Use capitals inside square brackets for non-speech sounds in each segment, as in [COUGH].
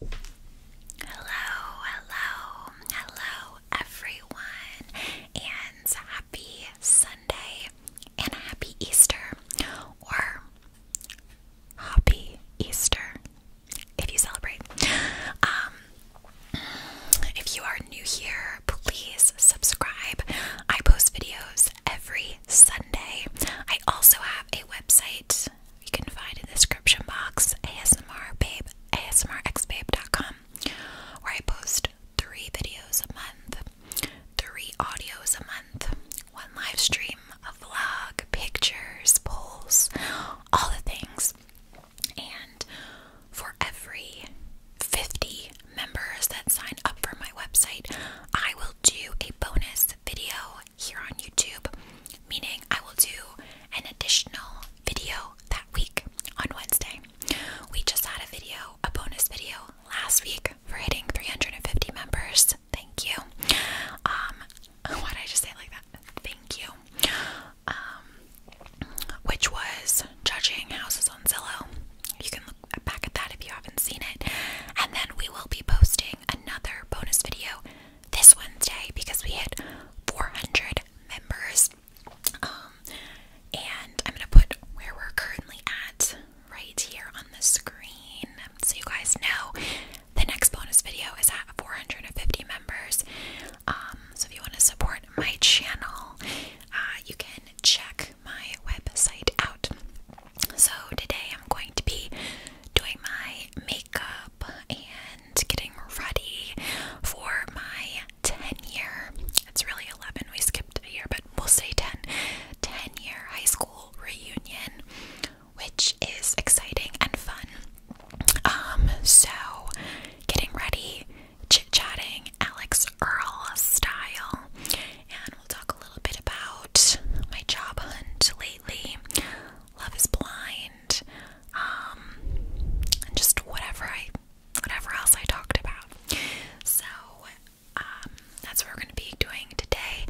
Hello, hello, hello, everyone, and happy Sunday and happy Easter or happy Easter if you celebrate. Um, if you are new here, please subscribe. I post videos every Sunday. I also have a website you can find in the description box ASMRbabe, ASMRxbabe.com, where I post three videos a month, three audios a month, one live stream, a vlog, pictures, polls, all the things. And for every 50 members that sign up for my website, I will do a bonus video here on YouTube, meaning I will do an additional video that week on Wednesday. We just had a video, a bonus video last week for hitting 350 members. Thank you. Um, [LAUGHS] why did I just say like that? Thank you. Um, which was judging houses on Zillow. You can look back at that if you haven't seen it. And then we will be posting another bonus video this Wednesday because we hit 400 members. Um, and I'm gonna put where we're currently at right here on the screen so you guys know the next bonus video is at 450 members. Um, so if you want to support my channel, uh, you can check my website out. So today I'm going to be doing my makeup and getting ready for my 10 year, it's really 11, we skipped a year, but we'll say 10, 10 year high school reunion, which is exciting and fun. Um, so getting ready, chit chatting, Alex Earl style, and we'll talk a little bit about my job hunt lately. Love is blind. Um, and just whatever I, whatever else I talked about. So um, that's what we're going to be doing today.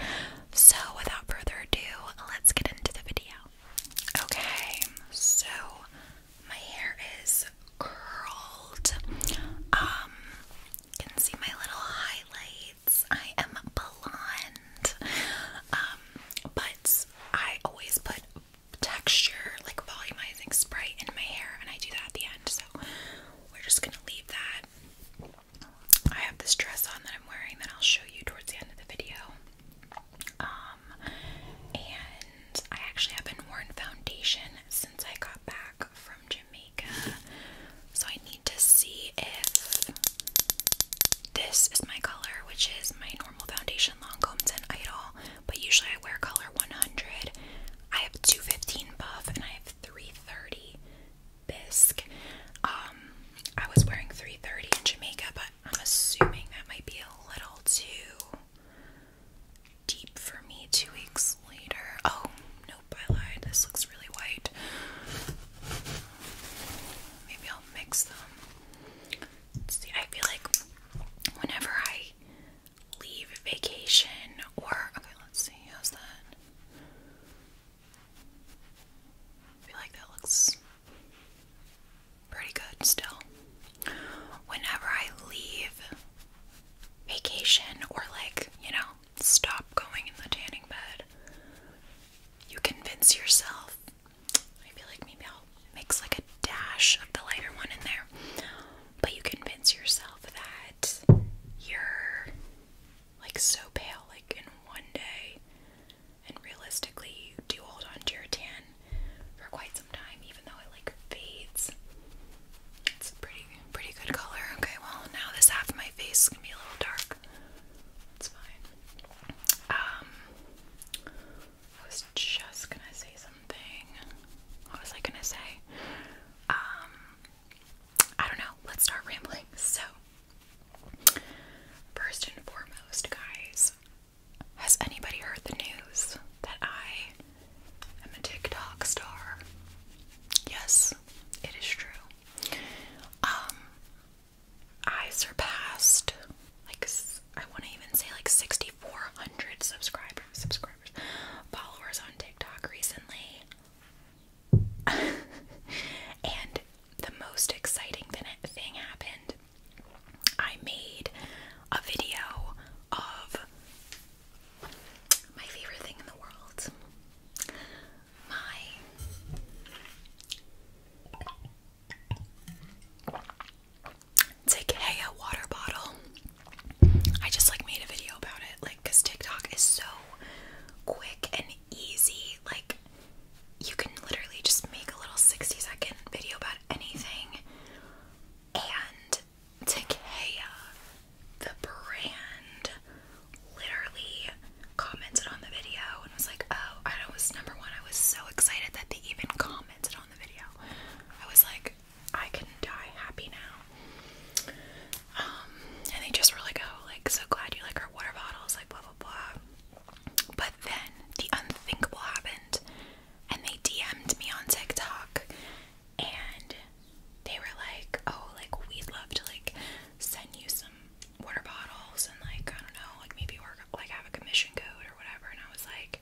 So without further ado, let's get into the video. Okay, so my hair is curled. Um, can see my little highlights. I am blonde. Um, but I always put texture, like volumizing spray in my hair, and I do that at the end. So we're just gonna leave that. I have this dress on that I'm wearing that I'll show you towards the end of the video. Um, and I actually haven't worn foundation since I got back from Jamaica, so I need to see if this is my color, which is my normal foundation Lancome's and Idol, but usually I wear color 100. I have 215 buff and I have 330 bisque. Um, I was wearing 330 in Jamaica, but I'm assuming that might be a little too deep for me two weeks later. Oh, nope, I lied. This looks really white. Maybe I'll mix them see, I feel like whenever I leave vacation or okay, let's see, how's that? I feel like that looks pretty good still. Whenever I leave vacation or like, you know, stop going in the tanning bed, you convince yourself I feel like maybe I'll mix like a dash of the lighter one in there. But you convince yourself that you're like so pale, like in one day. And realistically, you do hold on your tan for quite some time, even though it like fades. It's a pretty, pretty good color. Okay, well, now this half of my face is gonna be a little dark. That's fine. Um, I was just gonna say something. What was I gonna say? Um, I don't know. Let's start rambling. So, first and foremost, guys, has anybody heard the news that I am a TikTok star? Yes, it is true. Um, I surpassed like I want to even say like 6400 subscribers subscribers followers on TikTok recently. [LAUGHS] and the most exciting thing happened. I made a video of my favorite thing in the world. My it's like, hey, water bottle. I just like made a video about it, like, because TikTok is so quick and easy. Like, you can literally just make a little 60 second video about anything. And Takea, the brand, literally commented on the video and was like, oh, I was number one. I was so excited that they even commented on the video. I was like, I can die happy now. Um, and they just were like, oh, like, so glad you like our water bottles, like, blah, blah, blah. But then the unthinkable happened and they DM'd me on TikTok and they were like, oh, like, we'd love to, like, send you some water bottles and like I don't know, like maybe work like have a commission code or whatever. And I was like,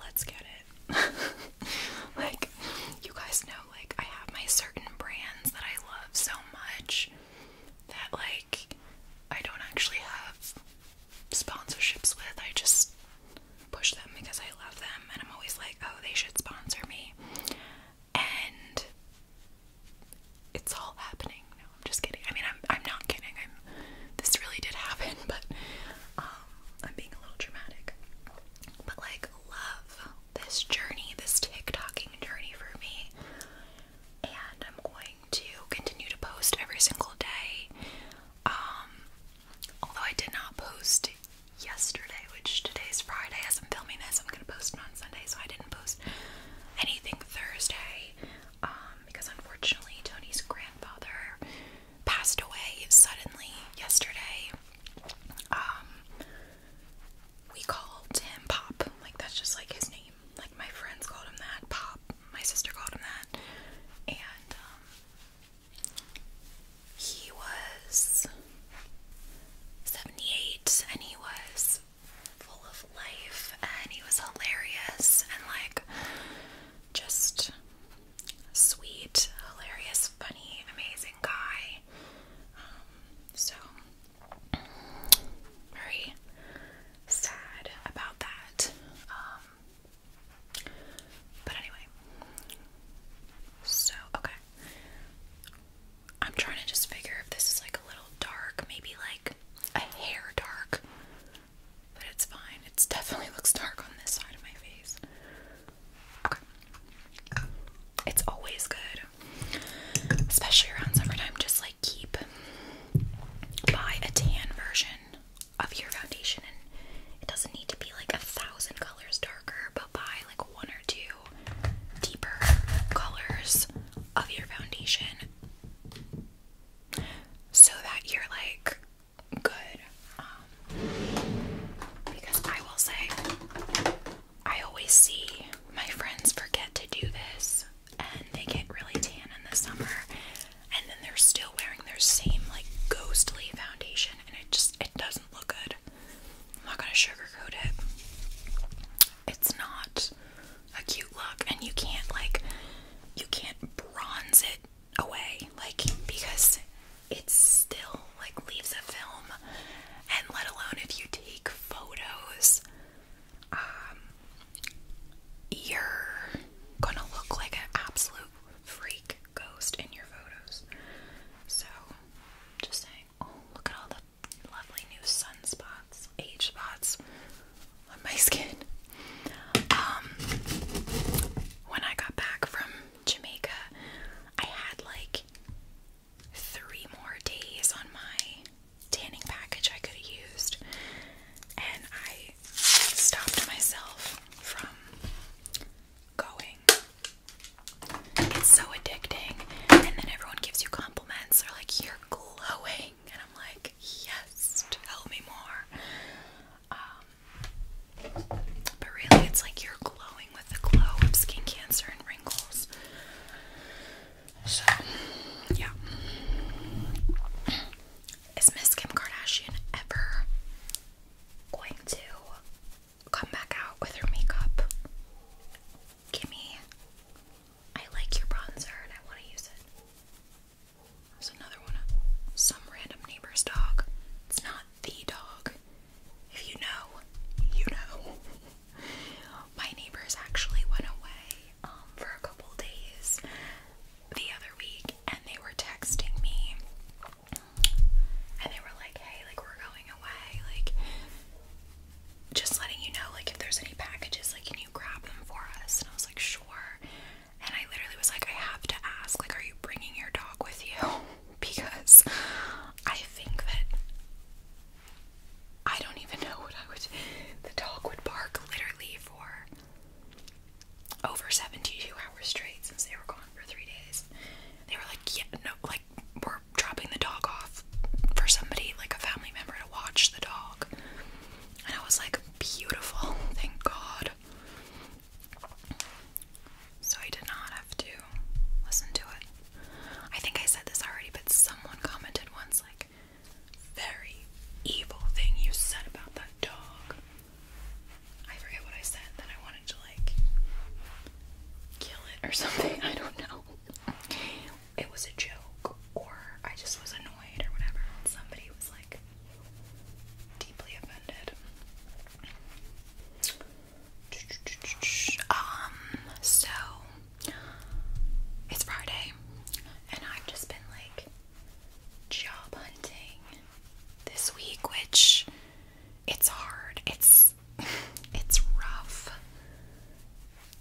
let's get it. [LAUGHS] like you guys know, like I have my certain brands that I love so much that like I don't actually have sponsorships with. I just push them because I love them and I'm always like, oh, they should sponsor me. And it's all happening. No, I'm just kidding. I mean, I'm I'm not kidding. this really did happen, [LAUGHS] but um, I'm being a little dramatic. But like, love this journey, this TikToking journey for me, and I'm going to continue to post every single day. Um, although I did not post yesterday, which today's Friday as I'm filming this, I'm gonna post on Sunday, so I didn't post anything Thursday. Um, um, because unfortunately Tony's grandfather passed away suddenly yesterday. Um, we called him Pop, like that's just like his name. Like my friends called him that, Pop. My sister called him that, and um, he was seventy-eight, and he was full of life and he was hilarious and like just sweet, hilarious, funny, amazing guy. Um, so very sad about that. Um, but anyway, so okay. I'm trying to just figure if this is like a dark, maybe like a hair dark. But it's fine. It definitely looks dark on this side of my face. It's always good. Especially around summertime, just like keep buy a tan version of your foundation and it doesn't need to be like a thousand colors darker, but buy like one or two deeper colors of your foundation so that you're like good. Um, because I will say, I always see my friends forget to do this and they get really tan in the summer and then they're still wearing their same like ghostly foundation and it just it doesn't look good. I'm not gonna sugarcoat it. It's not a cute look and you can't like you can't bronze it away like because it's still like leaves a film and let alone if you take photos um you're gonna look like an absolute freak ghost in your photos so just saying oh look at all the lovely new sunspots age spots on my skin. Um, when I got back from Jamaica, I had like three more days on my tanning package I could have used, and I stopped myself from going. It's so addicting, and then everyone gives you compliments. They're like, "You're glowing," and I'm like, yes, tell me more. Um, but really, it's like you're glowing with the glow of skin cancer and wrinkles. So, yeah. Is Miss Kim Kardashian ever going to come back out with her makeup? give I like your bronzer and I want to use it. There's another one. Some random neighbor's dog. It's not the dog. If you know, you know. [LAUGHS] My neighbors actually went away um, for a couple days the other week, and they were texting me, and they were like, "Hey, like we're going away. Like, just letting you know, like if there's any packages, like you you grab them for us? And I was like, sure. And I literally was like, I have to ask, like, are you bringing your dog with you? [LAUGHS] because I think that I don't even know what I would. The dog would bark literally for over 72 hours straight since they were gone for three days. They were like, yeah, no, like, we're dropping the dog off for somebody, like a family member, to watch the dog. And I was like, beautiful, thank God. So I did not have to listen to it. I think I said this already, but someone commented once, like, very evil thing you said about that dog. I forget what I said, that I wanted to, like, kill it or [LAUGHS] something. I don't know. It was a joke, or I just was annoyed, or whatever. Somebody was deeply offended. Um, so it's Friday and I've just been like job hunting this week, which it's hard. It's [LAUGHS] it's rough.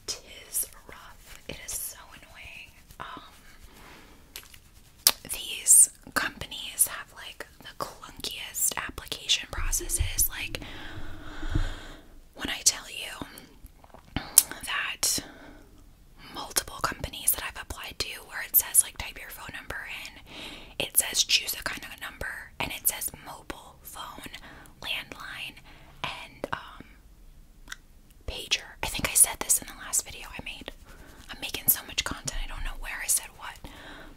Tis rough. It is so annoying. Um these companies have like the clunkiest application processes. Like, when I tell you that multiple companies that I've applied to, where it says like type your phone number in, it says choose a kind of number, and it says mobile phone, landline, and um, pager. I think I said this in the last video I made. I'm making so much content, I don't know where I said what.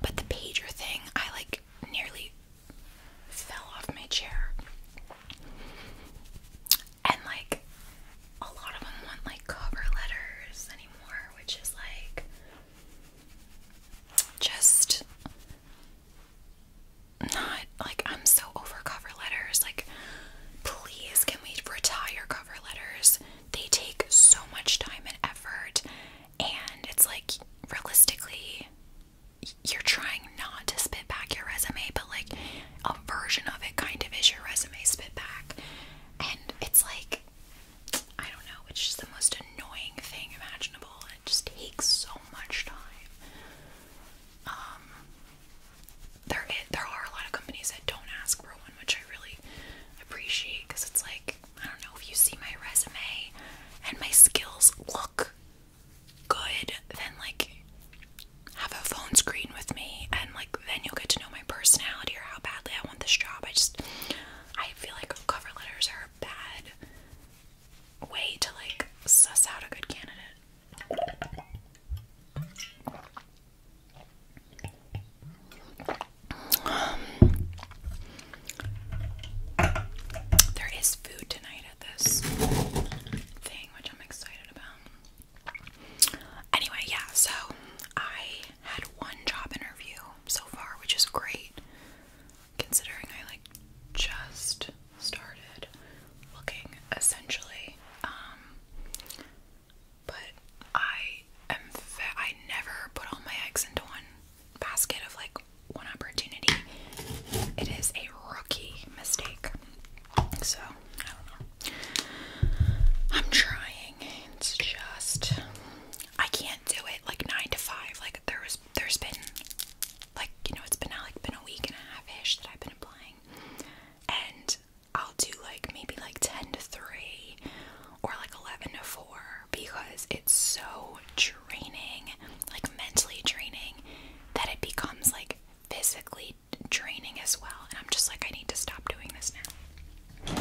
But the pager thing, I like nearly fell off my chair. And like, a lot of them want like cover letters anymore, which is like just not like I'm so over cover letters. Like, Please, can we retire cover letters? They take so much time and effort, and it's like realistically, you're trying not to spit back your resume, but like a version of it kind of is your resume spit back. And it's like, I don't know, it's just the most annoying thing imaginable. It just takes so much time. Um, there there are a lot of companies that don't ask for one, which I really appreciate because it's like I don't know if you see my resume and my skills look good, then like have a phone screen with me and like then you'll get to know my personality or how badly I want this job. I just I feel like cover letters are a bad way to like suss out a good candidate. Um, there is food tonight at this thing, which I'm excited about. Anyway, yeah, so I had one job interview so far, which is great considering I like just started looking essentially. Um, but I am I never put all my eggs into one basket of like one opportunity. It is a rookie mistake. So, I don't know. I'm trying. It's just I can't do it like 9 to 5. Like there was there's been like you know, it's been like been a week and a halfish that I've been applying. And I'll do like maybe like 10 to 3 or like 11 to 4 because it's so draining, like mentally draining, that it becomes like physically draining as well. And I'm just like, I need to stop doing this now.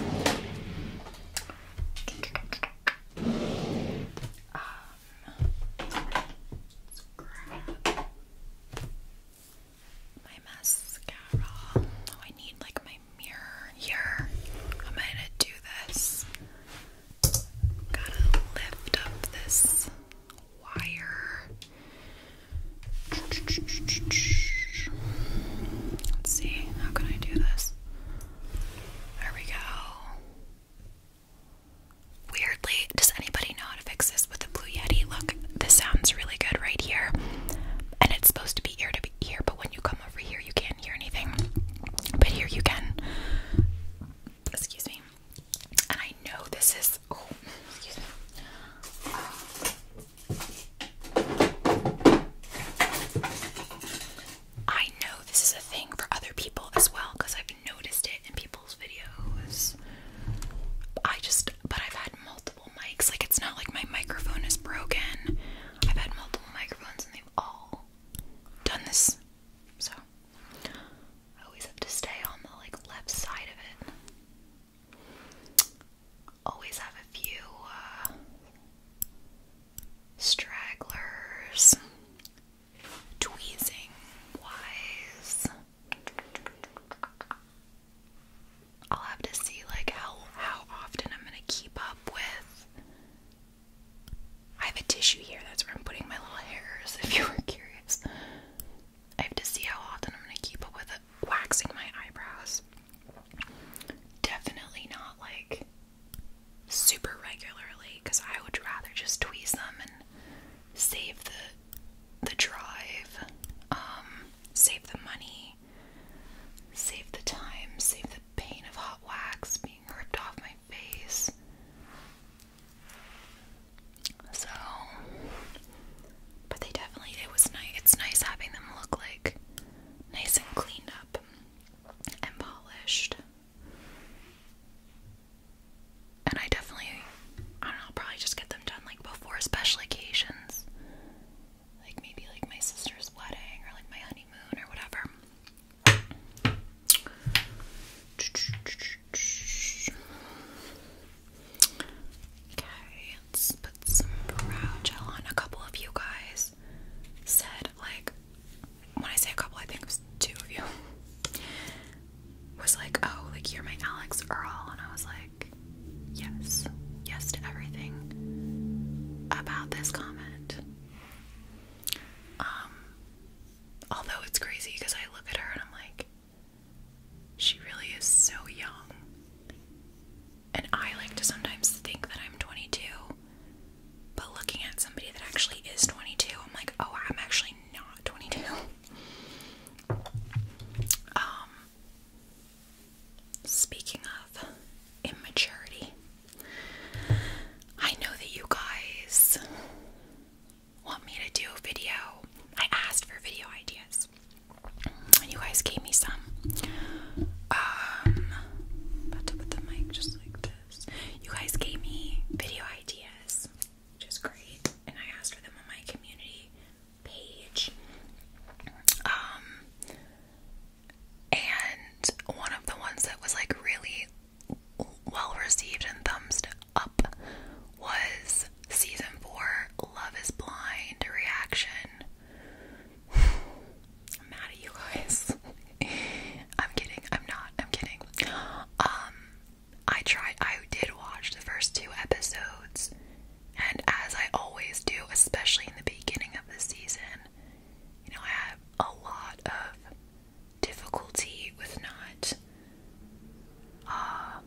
Um, my mascara. Oh, I need like my mirror here. I'm gonna do this. Gotta lift up this wire. Let's see, how can I do this? There we go. Weirdly, does anybody know to fix this with a Blue Yeti. Look, this sounds really good right here, and it's supposed to be ear to ear, but when you come over here, you can't hear anything. But here you can. Excuse me. And I know this is. Oh, excuse me. I know this is a thing for other people as well because I've noticed it in people's videos. I just, but I've had multiple mics. Like it's not like my microphone is broken. I've had multiple microphones and they've all done this. So I always have to stay on the like left side of it. Always have a few uh, stragglers tweezing wise I'll have to see like how how often I'm gonna keep up with. I have a tissue here. That's where I'm putting my little hairs. [LAUGHS] If you were curious, I have to see how often I'm gonna keep up with it. waxing my eyebrows. Definitely not like super regularly, because I would rather just tweeze them and save the the drive, um, save the money, save the time, save the pain of hot wax being ripped off my face. So, but they definitely it was nice. It's nice having them look like nice and cleaned up and polished. And I definitely I don't know, will probably just get them done like before special occasions. Like maybe like my sister's wedding or like my honeymoon or whatever. Okay, let's put some brow gel on. A couple of you guys said, like, when I say a couple, I think it was two of you, [LAUGHS] was like, oh, like, you're my Alex Earl. And I was like, yes, yes to everything about this comment. Um, although it's crazy because I look at her and I'm like, she really is so young. And I like to sometimes think that I'm 22, but looking at somebody that actually is 22, I'm like, oh, I'm actually not 22. [LAUGHS] Um, Speaking of immaturity, I know that you guys want me to do a video. I asked for video ideas, and you guys gave me some. Um, about to put the mic just like this. You guys gave me video ideas, which is great, and I asked for them in my community page. Um, and one of the ones that was like really well received and thumbs up was season four Love is Blind reaction. I'm mad at you guys. [LAUGHS] I'm kidding. I'm not. I'm kidding. Um, I tried, I did watch the first two episodes and as I always do, especially in the beginning of the season, you know, I have a lot of difficulty with not. Uh,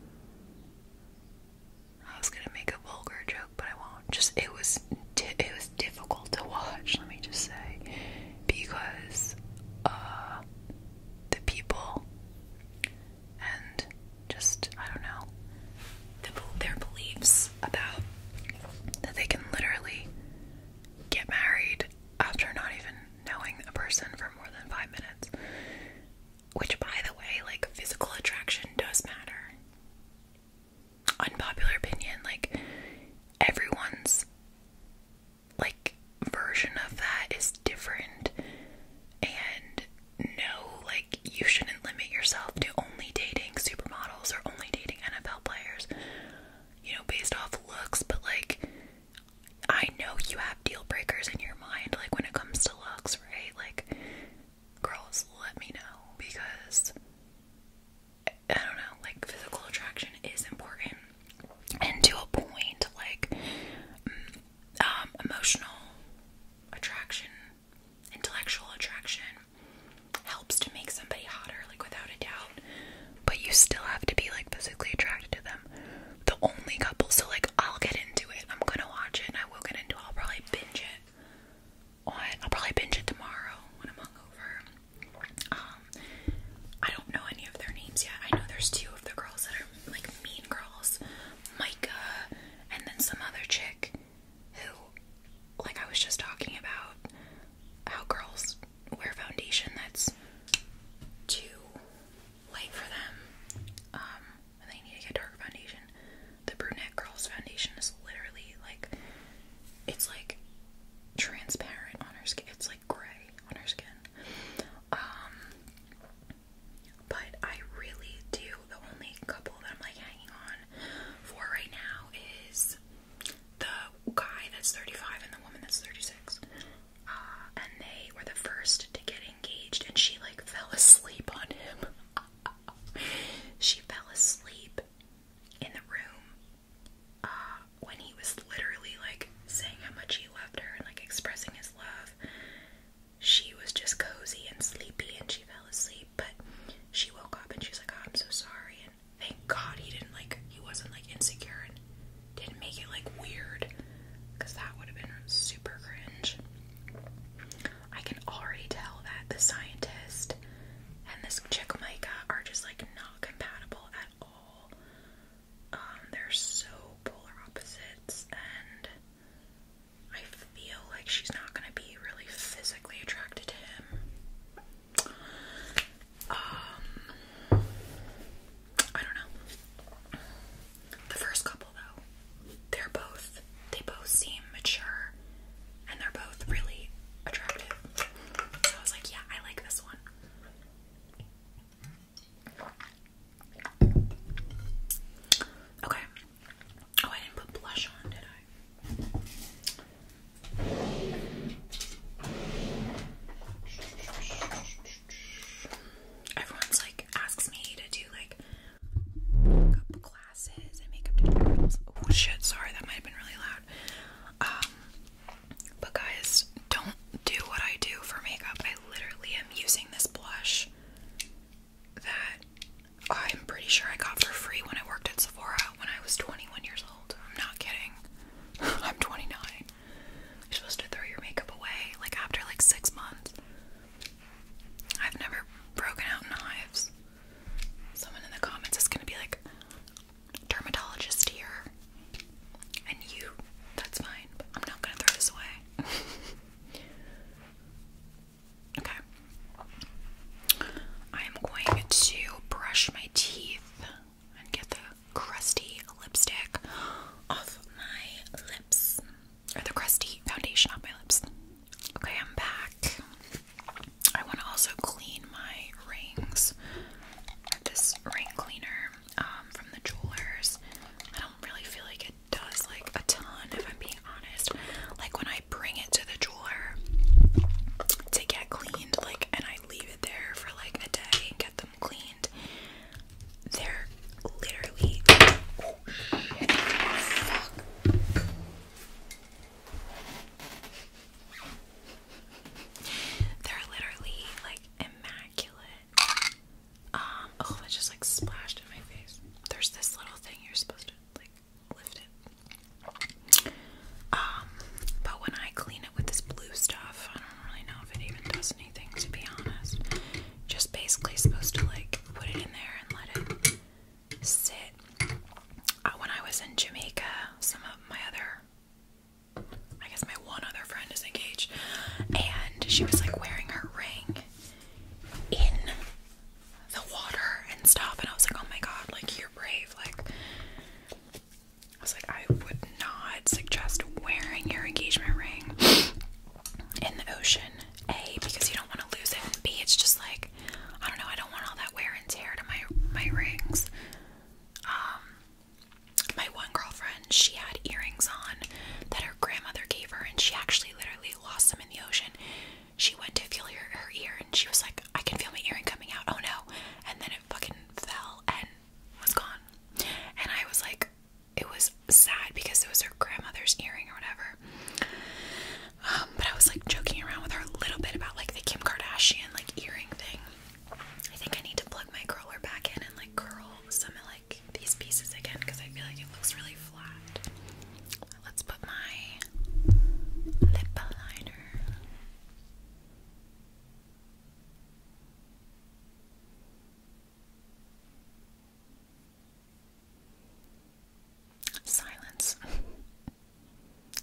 I was gonna make a vulgar joke, but I won't. Just it was it was difficult to watch. Let me just say, because uh, the people and just I don't know their beliefs about that they can literally get married after not even knowing a person for more than five minutes. Which, by the way, like physical attraction does matter. Unpopular opinion, like everyone's like version of that is different, and no, like, you shouldn't limit yourself to only dating supermodels or only dating NFL players, you know, based off looks. But, like, I know you have deal breakers in your mind, like, when it comes to looks, right? Like, girls, let me know because I don't know, like, physical attraction is important and to a point, like, mm, um, emotional attraction intellectual attraction helps to make somebody hotter, like without a doubt. But you still have to be like physically attracted to them. The only couple, so like I'll get into it. I'm gonna watch it I will get into it. I'll probably binge it. I'll probably binge it tomorrow when I'm hungover. Um, I don't know any of their names yet. I know there's two of the girls that are like mean girls, Micah and then some other chick who, like I was just talking about, how girls wear foundation that's too light for them. Um, they need to get dark foundation. The brunette girl's foundation is literally like it's like transparent on her skin. It's like gray on her skin. Um, but I really do. The only couple that I'm like hanging on for right now is the guy that's 35 and the woman that's 36. Uh, and they were the first to get engaged, and she like [LAUGHS] fell asleep on him. [LAUGHS] she fell asleep in the room uh, when he was literally like saying how much he loved her and like expressing his love she was just cozy and sleepy and she fell asleep, but she woke up and she's like, oh, I'm so sorry. And thank God he didn't like, he wasn't like insecure and didn't make it like weird because that would have been super cringe. I can already tell that the scientist and this chick Micah are just like not compatible at all. Um, they're so polar opposites and I feel like she's not gonna be really physically attracted to him. Um, I don't know. The first couple, though, they're both, they both seem mature and they're both really attractive. So I was like, yeah, I like this one. Okay, Oh, I didn't put blush on, did I? Everyone's like asks me to do like makeup classes and makeup tutorials. Oh shit, sorry, that might have been really loud. Um, but guys, don't do what I do for makeup. I literally am using this blush that I'm pretty sure I got for free when I worked at Sephora when I was 21 years old. I'm not kidding. [LAUGHS] I'm 29. You're supposed to throw your makeup away like after like six months. I've never broken out knives. Someone in the comments is gonna be like, dermatologist here. And you, that's fine, I'm not gonna throw this away. [LAUGHS] Okay. I am going to brush my teeth and get the crusty lipstick off my lips. Or the crusty foundation off my lips. Okay, I'm back. I want to also clean my rings. This ring cleaner um, from the jewelers. I don't really feel like it does like a ton, if I'm being honest. Like when I bring it to the jeweler to get cleaned, like, and I leave it there for like a day and get them cleaned, they're literally. Oh, they're literally like immaculate. Um, oh, it just like splashed in my face. There's this little thing you're supposed to like um, but when I clean it with this blue stuff, I don't really know if it even does anything to be honest. Just basically supposed to like put it in there and let it sit. Uh, when I was in Jamaica, some of my other, I guess my one other friend is engaged, and she was like wearing her ring in the water and stuff and I was like, oh my god, like you're brave, like I was like, I would not suggest wearing your engagement ring in the ocean. A, because you don't want to lose it, B, it's just like I don't know, I don't want all that wear and tear to my my rings. Um my one girlfriend, she had earrings on that her grandmother gave her and she actually literally lost them in the ocean she went to feel her, her ear and she was like, I can feel my earring coming out. Oh no. And then it fucking fell and was gone. And I was like, it was sad because it was her grandmother's earring or whatever. Um, but I was like joking around with her a little bit about like the Kim Kardashian like earring thing. I think I need to plug my curler back in and like curl some of like these pieces again because I feel like it looks really Let's put my lip liner. Silence.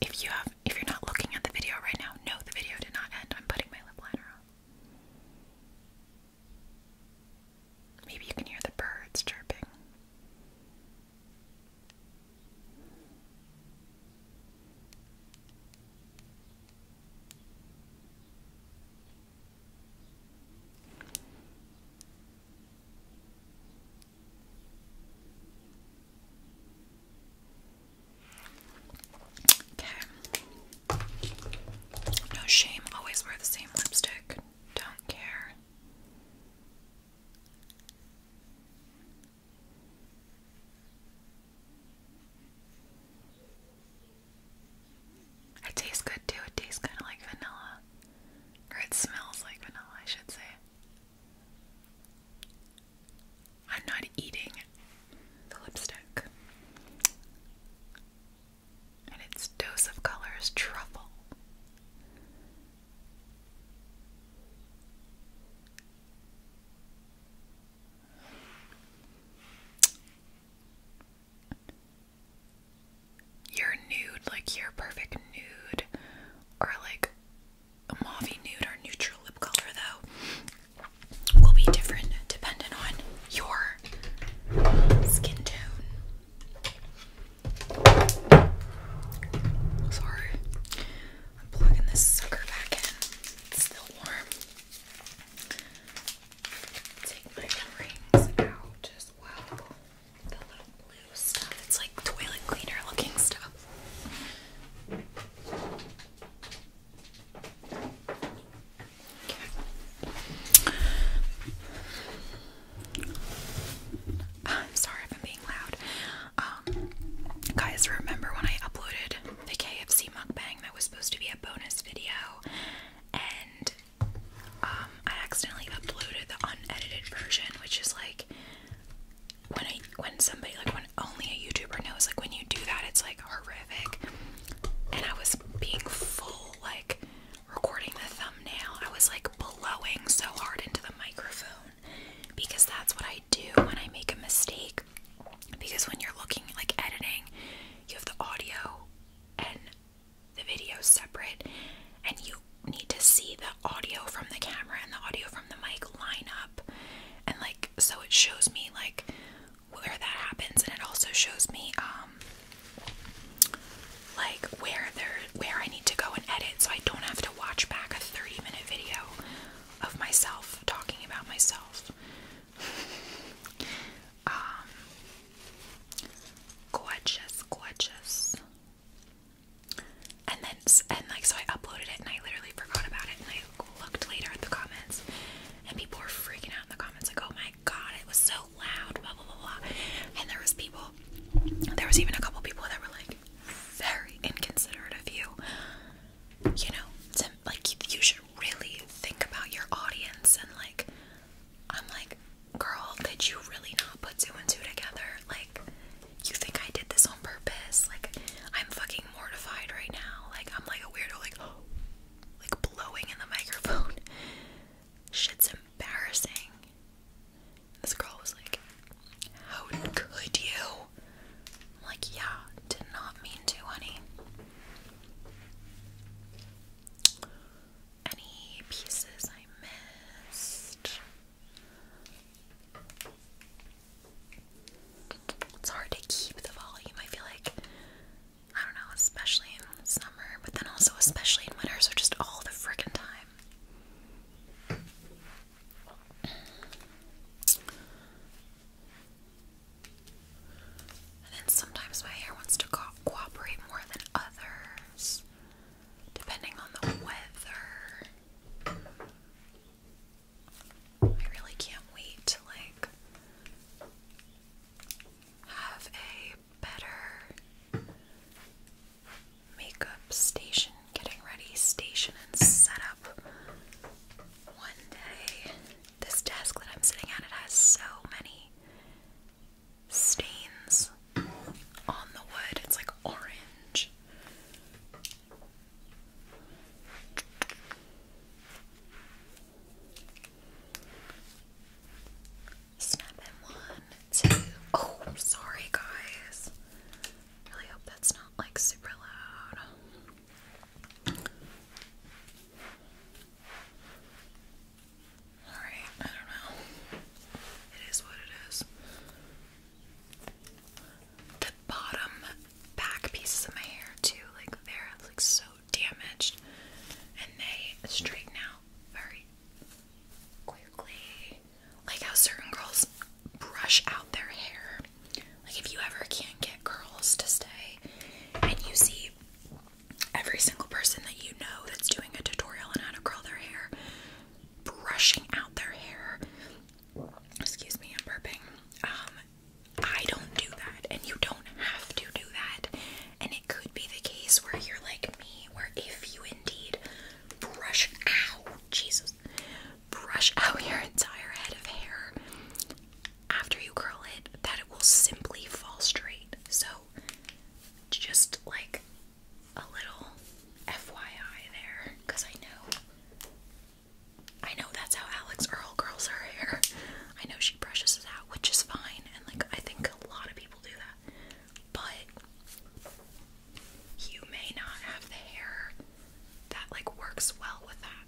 if you have if you're not looking at the video right now, no the video did not end. I'm putting my lip liner on. Maybe you can hear the birds chirping. Okay. No shame, always wear the same lipstick. Don't care. It tastes good too. It tastes kind of like vanilla. Or it smells like vanilla, I should say. I'm not eating the lipstick. And its dose of color truffle. Your nude, like your perfect nude, or like a mauve nude or neutral lip color, though, will be different depending on your skin tone. Sorry. I'm plugging this sucker back in. It's still warm. Take my rings out as well. The little blue stuff. It's like toilet cleaner looking stuff. I'm sorry if I'm being loud. Um, guys, remember when I uploaded the KFC mukbang that was supposed to be a bonus video, and um, I accidentally uploaded the unedited version, which is like when I when somebody like when only a YouTuber knows like when you do that it's like horrific, and I was being full like recording the thumbnail, I was like blowing so hard into the microphone because that's what I do when I make a mistake. Because when you're looking like editing, you have the audio and the video separate, and you need to see the audio from the camera and the audio from the mic line up, and like so it shows me like where that happens, and it also shows me um, like where there where I need to go and edit so I don't have to watch back a 30 minute video of myself talking about myself. [LAUGHS] um gorgeous, gorgeous. And then and like so I uploaded it and I literally forgot about it and I looked later at the comments and people were freaking out in the comments like oh my god it was so loud blah blah blah and there was people there was even a couple people that were like, very inconsiderate of you. You know, to, like you should really think about your audience and like I'm like, girl, did you really not put two and two together? Like, you think I did this on purpose? Like, I'm fucking mortified right now. Like, I'm like a weirdo, like, oh, like blowing in the [LAUGHS] microphone. Shit's embarrassing. This girl was like, How could you? like, yeah, did not mean to, honey. Any pieces I missed? It's hard to keep the volume, I feel like. I don't know, especially in summer, but then also especially in winter, so just all the frickin' time. And then sometimes my hair wants to cooperate more than others, depending on the weather. I really can't wait to like have a better makeup station, getting ready station and setup one day. This desk that I'm sitting at, it has so many stains on the wood. It's like orange. Snap in one, two. Oh, I'm sorry, guys. Really hope that's not like super loud. Alright, I don't know. It is what it is. The bottom back pieces of my hair too, like they're like so damaged, and they straighten out very quickly. Like how certain girls brush out their hair. Like if you ever can't get girls to stay and you see every single person that you know that's doing a tutorial on how to curl their hair brushing out their hair. Excuse me, I'm burping. Um I don't do that and you don't have to do that. And it could be the case where you're like me where if you indeed brush out, Jesus, brush out your entire head of hair after you curl it, that it will simply fall straight. So, just like a little FYI there, because I know. I know that's how Alex Earl curls her hair. I know she brushes it out, which is fine, and like I think a lot of people do that but you may not have the hair that like works well with that.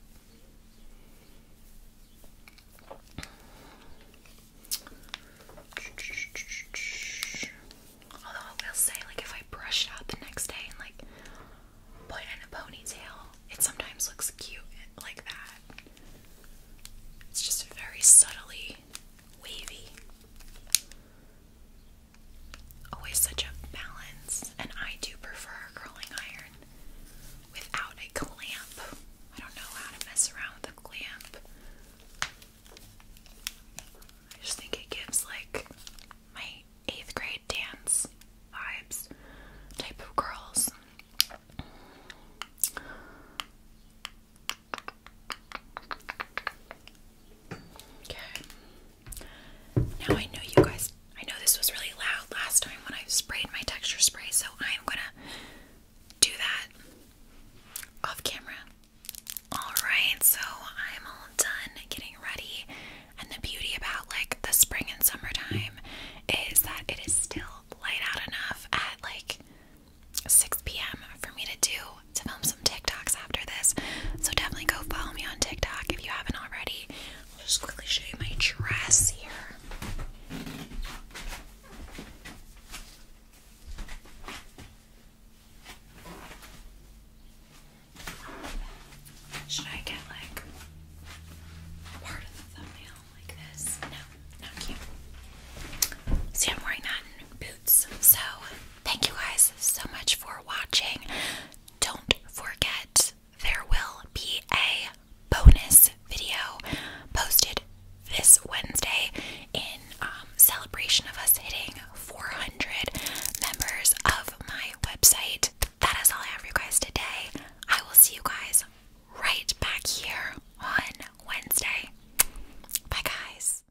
Although I will say, like, if I brush it out the next day and like put it in a ponytail, it sometimes looks cute like that. It's just very subtly wavy always such a balance, and I do prefer a curling iron without a clamp. I don't know how to mess around with a clamp. I just think it gives like my eighth grade dance vibes type of curls. Okay. Now I know you guys, I know this was really loud last time when I sprayed my texture spray, so I'm gonna do that off camera. Alright, so I'm all done getting ready. And the beauty about like the spring and summertime is that it is still light out enough at like 6 p.m. for me to do to film some TikToks after this. So definitely go follow me on TikTok if you haven't already. I'll just quickly show you my dress here. Should I get like part of the thumbnail like this? No, not cute. See, I'm wearing that boots. So Thank you guys so much for watching. Don't forget, there will be a bonus video posted this Wednesday in um, celebration of us hitting 400 members of my website. That is all I have for you guys today. I will see you guys right back here on Wednesday. Bye, guys.